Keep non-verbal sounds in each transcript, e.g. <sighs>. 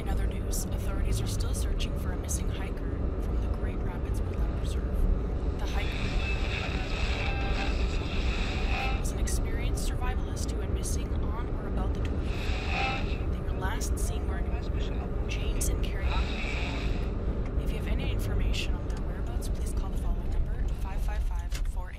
In other news, authorities are still searching for a missing hiker from the Great Rapids Wildlife Reserve. The hiker was an experienced survivalist who went missing on about the 20th. They last seen wearing chains and carrying If you have any information on their whereabouts, please call the following number, 555-48.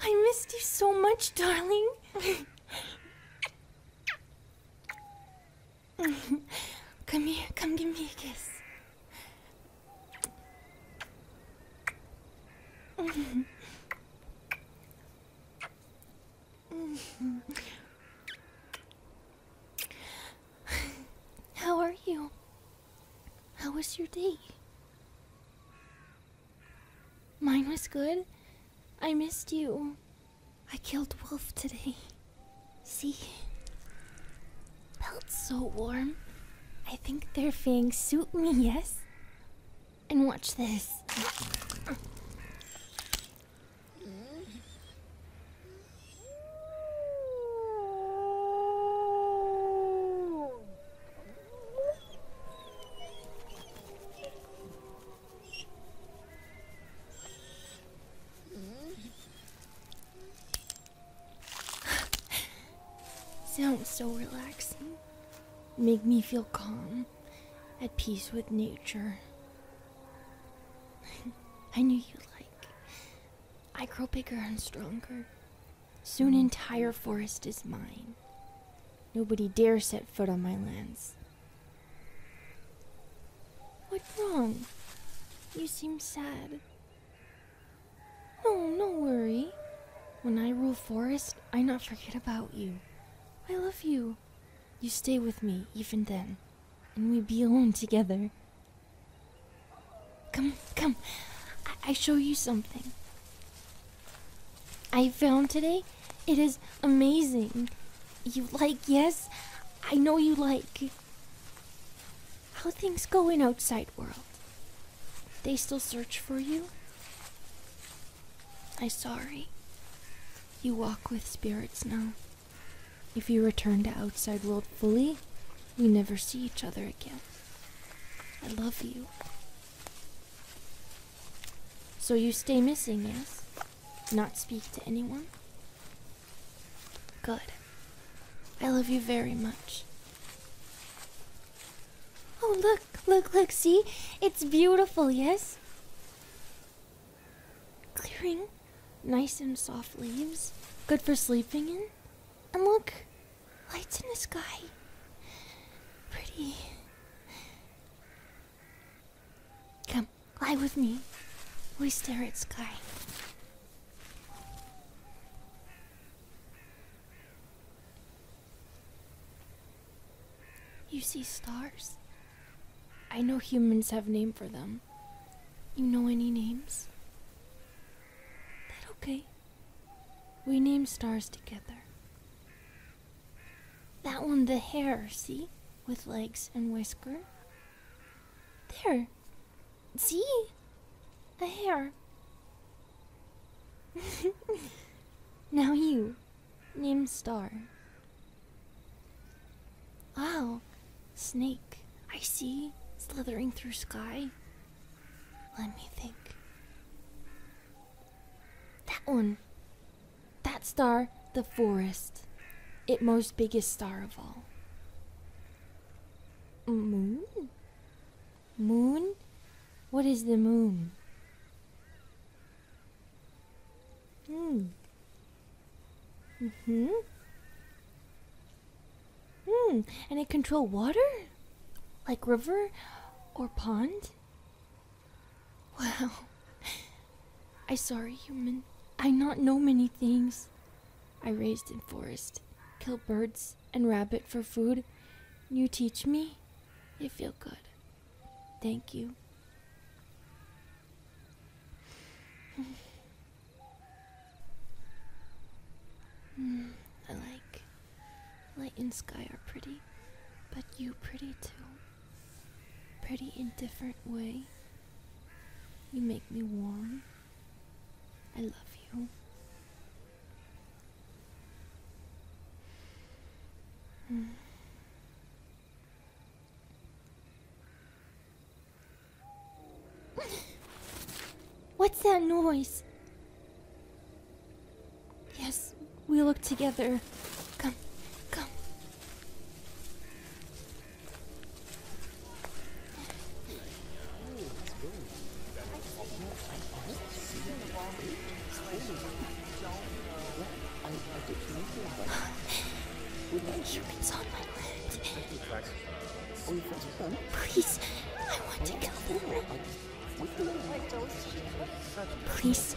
I missed you so much, darling. <laughs> come here, come give me a kiss. How are you? How was your day? Mine was good. I missed you. I killed Wolf today. See? Felt so warm. I think their fangs suit me, yes? And watch this. <sighs> Sounds so relaxing. Make me feel calm, at peace with nature. <laughs> I knew you'd like. I grow bigger and stronger. Soon, mm. entire forest is mine. Nobody dare set foot on my lands. What's wrong? You seem sad. No, oh, no worry. When I rule forest, I not forget about you. I love you. You stay with me even then, and we be alone together. Come, come. I, I show you something. I found today. It is amazing. You like, yes? I know you like. How things go in outside world. They still search for you? I'm sorry. You walk with spirits now. If you return to outside world fully, we never see each other again. I love you. So you stay missing, yes? Not speak to anyone? Good. I love you very much. Oh, look, look, look, see? It's beautiful, yes? Clearing. Nice and soft leaves. Good for sleeping in. And look, lights in the sky. Pretty. Come, lie with me. We stare at sky. You see stars? I know humans have name for them. You know any names? That okay? We name stars together. That one, the hair, see? With legs and whisker. There. See? a hair. <laughs> now you, name Star. Oh, snake, I see, slithering through sky. Let me think. That one. That star, the forest. It most biggest star of all. -hmm. Moon? What is the moon? Hmm. hmm Hmm. And it control water? Like river or pond? Wow. <laughs> I sorry, human. I not know many things. I raised in forest, kill birds and rabbit for food. You teach me? It feel good. Thank you. <laughs> I like light and sky are pretty, but you pretty too. Pretty in different way. You make me warm. I love you. <sighs> What's that noise? Yes, we look together. Come, come. Humans on my Please, I want to kill them. Please.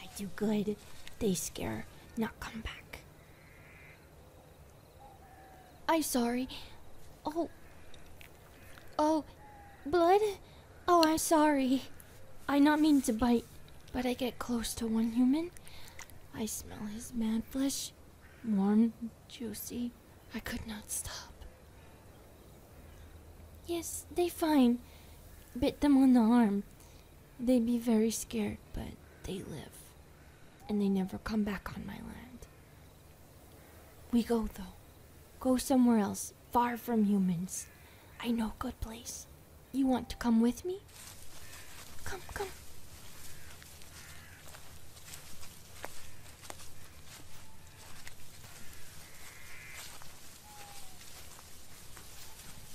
I do good, they scare, not come back. I'm sorry. Oh. Oh. Blood? Oh, I'm sorry. I not mean to bite, but I get close to one human. I smell his man flesh. Warm, juicy. I could not stop. Yes, they fine. Bit them on the arm. They be very scared, but they live and they never come back on my land. We go, though. Go somewhere else, far from humans. I know good place. You want to come with me? Come, come.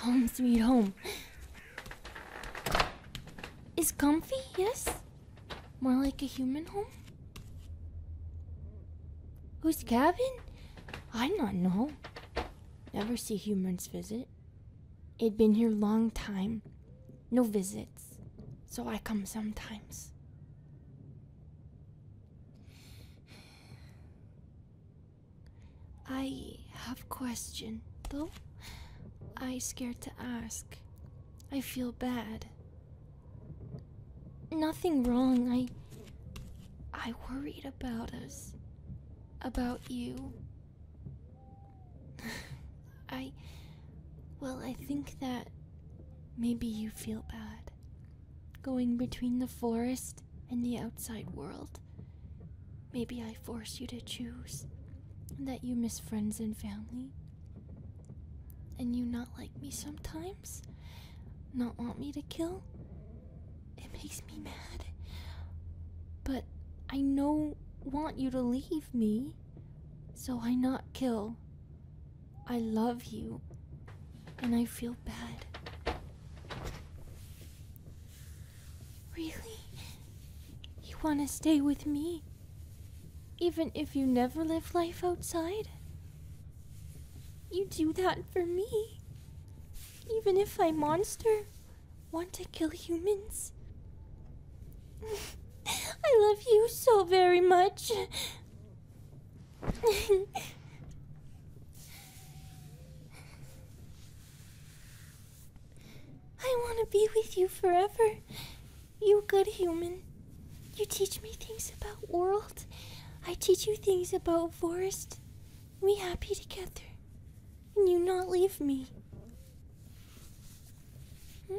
Home sweet home. Is comfy, yes? More like a human home? Whose cabin? I not know. Never see humans visit. it been here long time. No visits. So I come sometimes. I have question though. I scared to ask. I feel bad. Nothing wrong. I I worried about us. About you. <laughs> I well, I think that maybe you feel bad going between the forest and the outside world. Maybe I force you to choose, and that you miss friends and family, and you not like me sometimes, not want me to kill. It makes me mad. But I no want you to leave me, so I not kill. I love you, and I feel bad. Really? You want to stay with me? Even if you never live life outside? You do that for me. Even if I monster want to kill humans. <laughs> I love you so very much. <laughs> I want to be with you forever. You good human. You teach me things about world. I teach you things about forest. We happy together. And you not leave me. Hmm?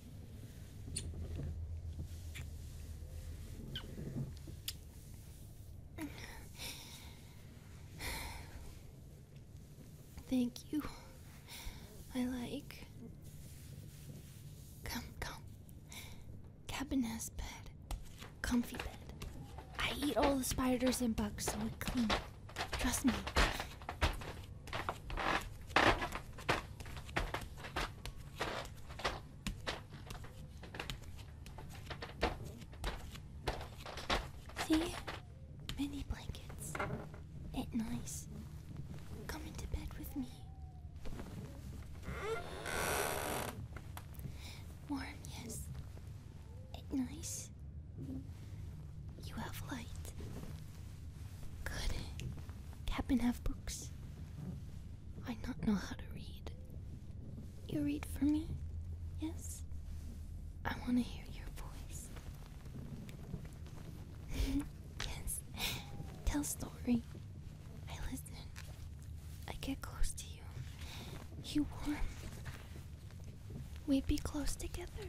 Thank you. I like. Come, come. Cabinet's bed. Comfy bed. I eat all the spiders and bugs so it clean. Trust me. See? Many blankets. It nice. Come into bed with me. Warm, yes. It nice. You have light. Could Captain have books? I not know how to read. You read for me, yes? I want to hear your voice. <laughs> yes, tell story. I listen. I get close to you. You warm. We be close together.